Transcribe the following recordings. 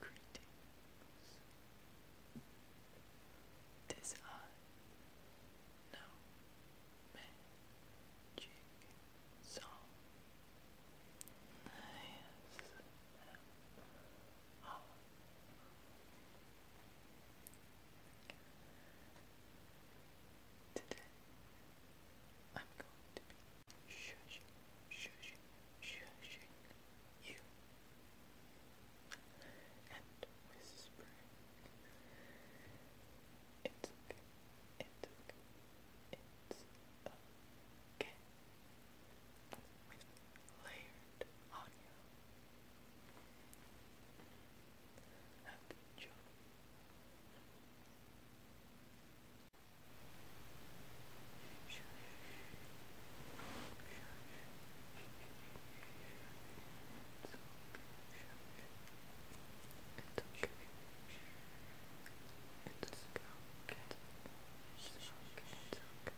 Greetings. Tis I, no magic song. Yes, Oh. Today, I'm going to be shushing, shushing, shushing you and whispering. It's okay, it's okay, it's okay with layered audio. Happy job. It's It's okay. It's okay. It's okay.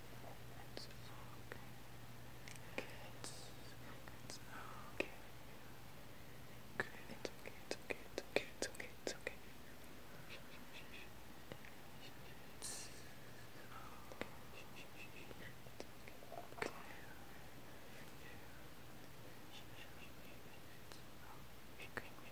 It's okay. It's, it's okay. Good. It's okay. It's okay. It's okay. It's okay. It's okay. It's okay. Okay.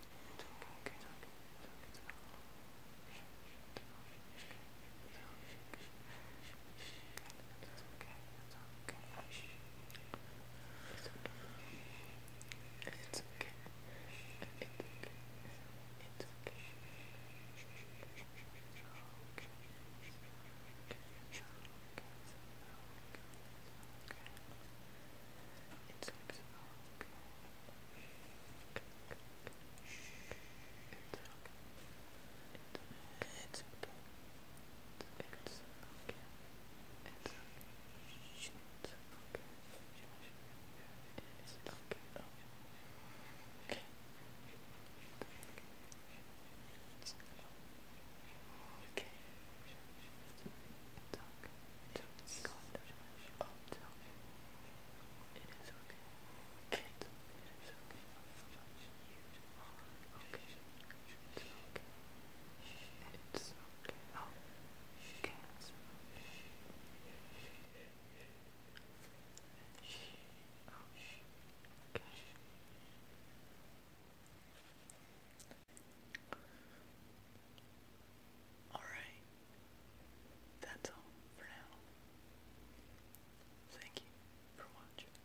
okay. It's okay. It's okay. It's okay. It's okay. It's okay. It's okay. It's okay. Oh. Okay. It's okay. It's okay. Don't God, don't rush. Oh, tell me. It is okay. Kate, it is okay. You are okay. It's okay. It's okay. Oh, Kate. Okay. Alright. That's all for now. Thank you for watching.